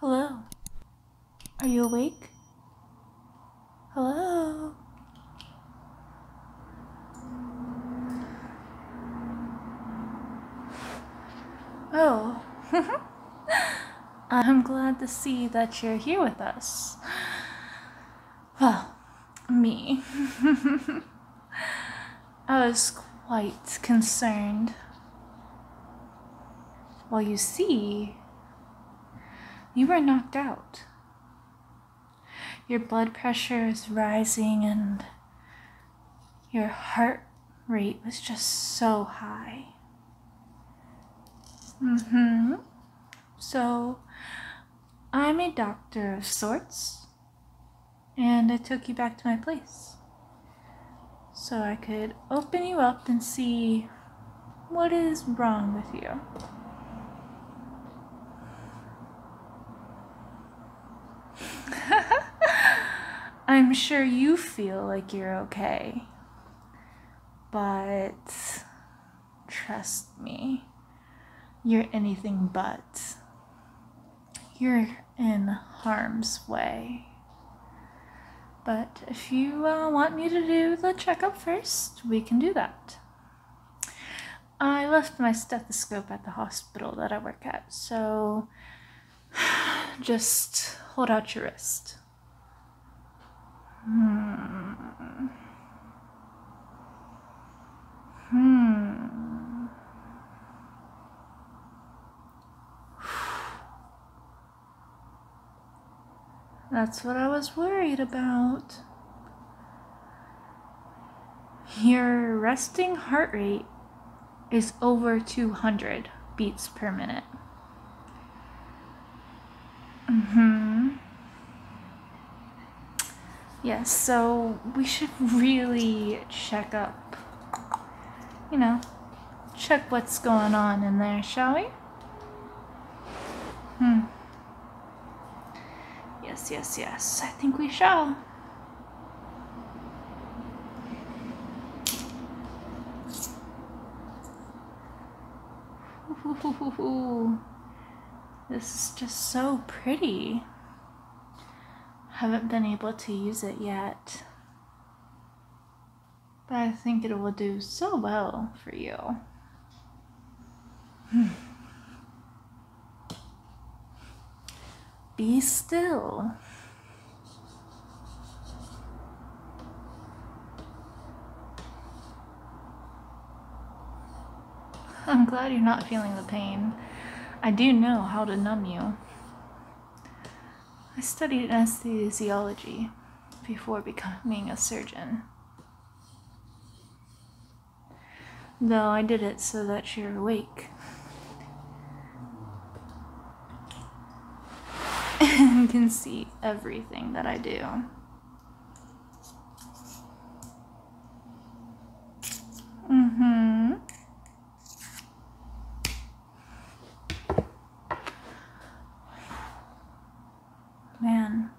Hello? Are you awake? Hello? Oh, I'm glad to see that you're here with us. Well, me. I was quite concerned. Well, you see, you were knocked out. Your blood pressure is rising and your heart rate was just so high. Mm hmm. So I'm a doctor of sorts, and I took you back to my place. So I could open you up and see what is wrong with you. I'm sure you feel like you're okay, but Trust me. You're anything but. You're in harm's way. But if you uh, want me to do the checkup first, we can do that. I left my stethoscope at the hospital that I work at, so just hold out your wrist. Hmm. Hmm. That's what I was worried about. Your resting heart rate is over 200 beats per minute. Mm hmm yes, so we should really check up, you know, check what's going on in there, shall we? Hmm. Yes, yes, yes, I think we shall. this is just so pretty haven't been able to use it yet. But I think it will do so well for you. Be still. I'm glad you're not feeling the pain. I do know how to numb you. I studied anesthesiology before becoming a surgeon. Though I did it so that you're awake. and can see everything that I do. Mm-hmm. Man,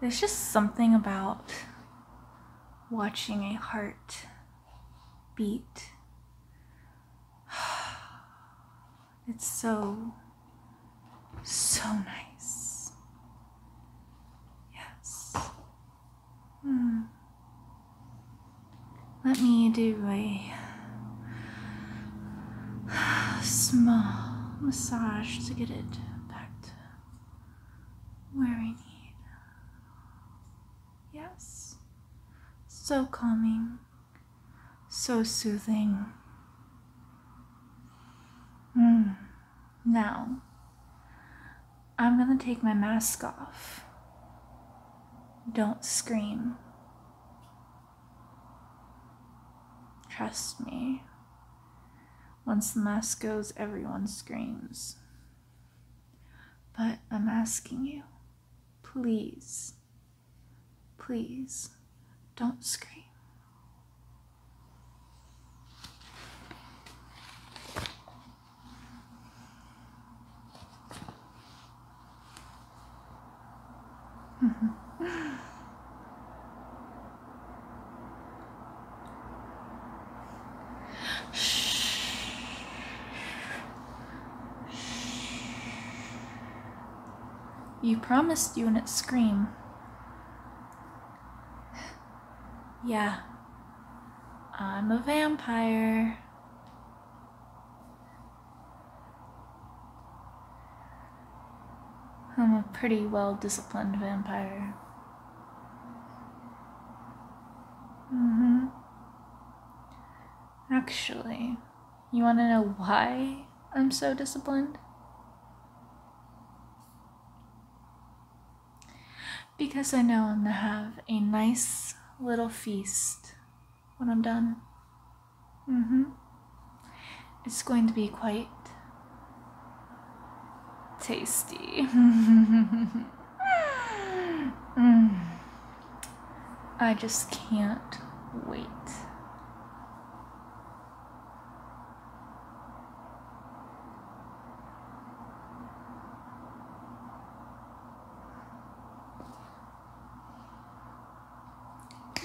there's just something about watching a heart beat. It's so, so nice. Yes. Hmm. Let me do a small massage to get it back to where I need. Yes. So calming. So soothing. Mm. Now, I'm gonna take my mask off. Don't scream. Trust me. Once the mask goes, everyone screams. But I'm asking you, please, please, don't scream. You promised you wouldn't scream. yeah. I'm a vampire. I'm a pretty well disciplined vampire. Mm hmm. Actually, you want to know why I'm so disciplined? Because I know I'm going to have a nice little feast when I'm done. Mm hmm. It's going to be quite tasty. Mm. I just can't wait.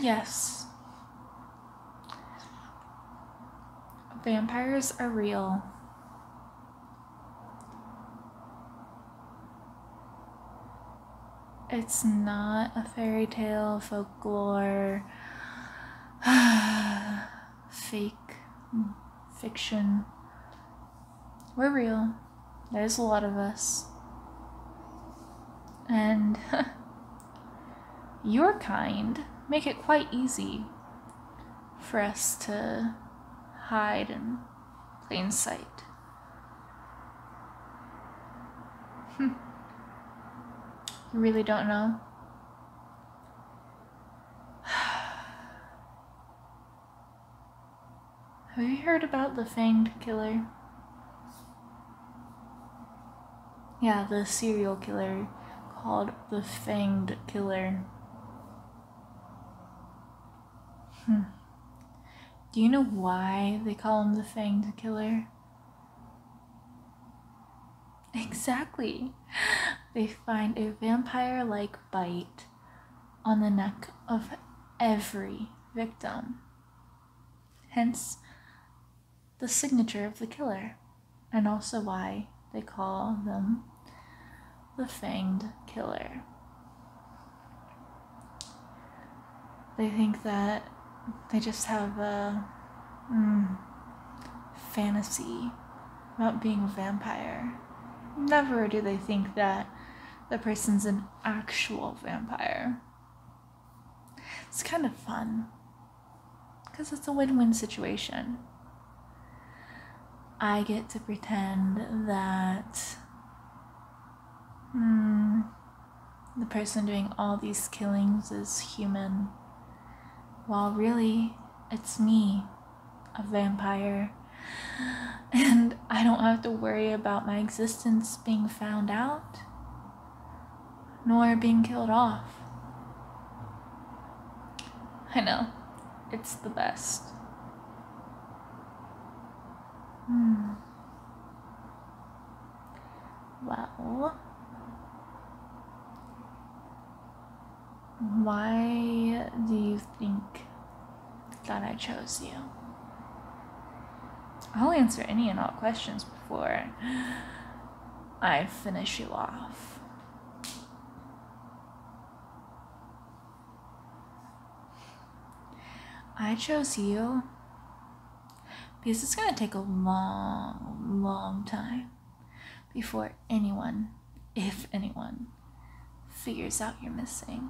Yes. Vampires are real. It's not a fairy tale, folklore, fake fiction. We're real. There's a lot of us. And your kind make it quite easy for us to hide in plain sight. you really don't know? Have you heard about the Fanged Killer? Yeah, the serial killer called the Fanged Killer. Hmm. Do you know why they call him the Fanged Killer? Exactly. They find a vampire like bite on the neck of every victim. Hence the signature of the killer, and also why they call them the Fanged Killer. They think that they just have a mm, fantasy about being a vampire. Never do they think that the person's an actual vampire. It's kind of fun because it's a win win situation. I get to pretend that hmm, the person doing all these killings is human, while really it's me, a vampire. And I don't have to worry about my existence being found out, nor being killed off. I know, it's the best. Hmm. Well, why do you think that I chose you? I'll answer any and all questions before I finish you off. I chose you because it's going to take a long, long time before anyone, if anyone, figures out you're missing.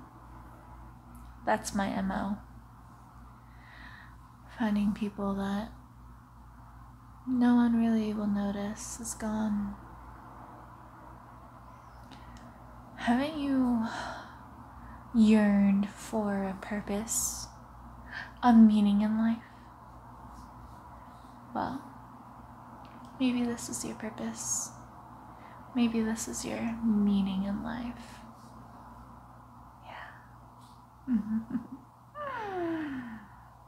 That's my MO. Finding people that no one really will notice is gone. Haven't you yearned for a purpose, a meaning in life? Well, maybe this is your purpose. Maybe this is your meaning in life. Yeah.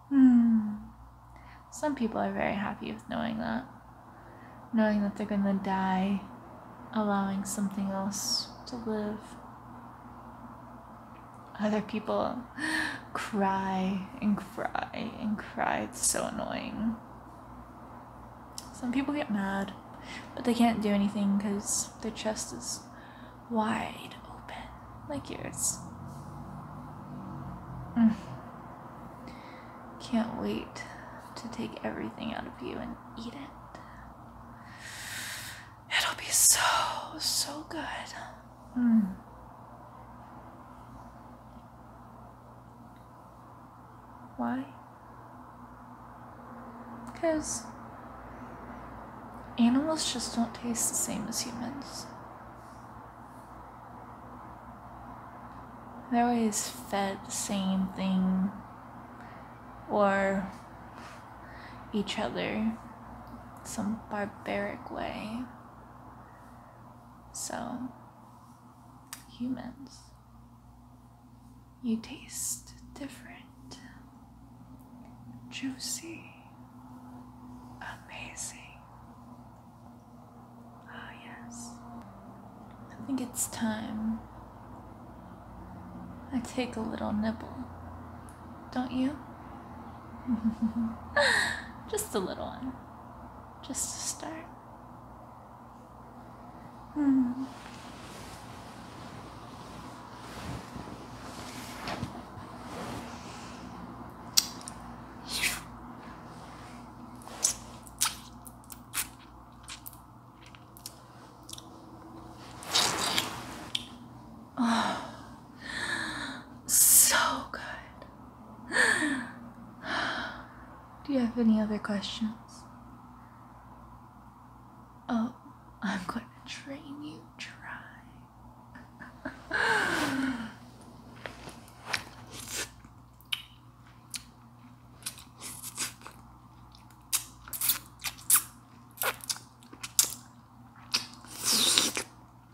Hmm. Some people are very happy with knowing that. Knowing that they're gonna die, allowing something else to live. Other people cry and cry and cry. It's so annoying. Some people get mad, but they can't do anything because their chest is wide open, like yours. Mm. Can't wait to take everything out of you and eat it. It'll be so, so good. Mm. Why? Because animals just don't taste the same as humans. They're always fed the same thing or each other some barbaric way. So, humans, you taste different, juicy, amazing. Ah, yes. I think it's time I take a little nibble, don't you? Just a little one just to start. Oh, so good. Do you have any other questions? Oh, I'm going to train you. Try.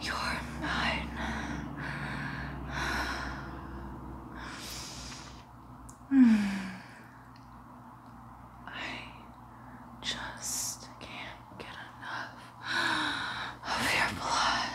You're mine. Hmm. I just can't get enough of your blood.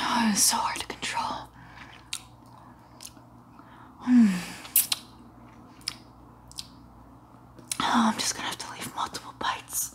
Oh, it's so hard to control. Mm. Oh, I'm just gonna have to leave multiple bites.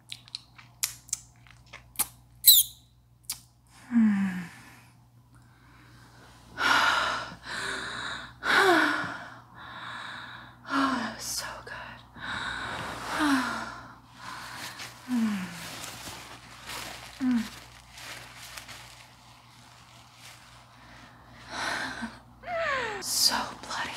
Hmm. oh, so good. mm. Mm. so bloody.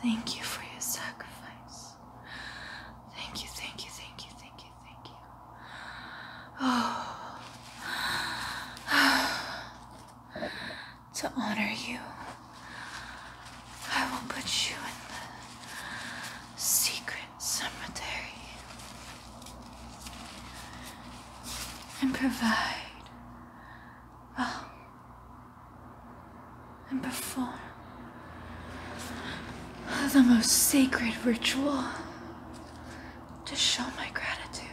Thank you for your sacrifice. Thank you, thank you, thank you, thank you, thank you. Oh. to honor you. I will put you in the secret cemetery and provide, well, and perform the most sacred ritual to show my gratitude.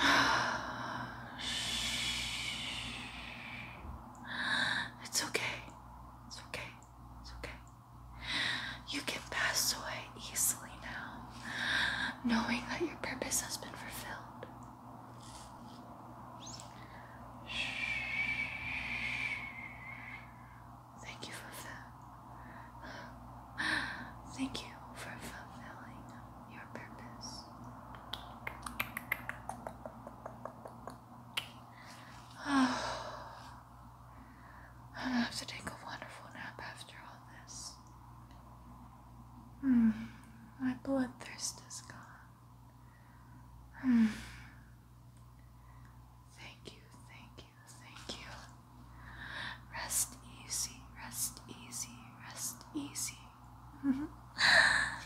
It's okay. It's okay. It's okay. You can pass away easily now, knowing that your purpose has been fulfilled. Thank you for that. Thank you for fulfilling your purpose i have to take a wonderful nap after all this. Mm, my bloodthirst is gone. Hmm. Thank you, thank you, thank you. Rest easy, rest easy, rest easy.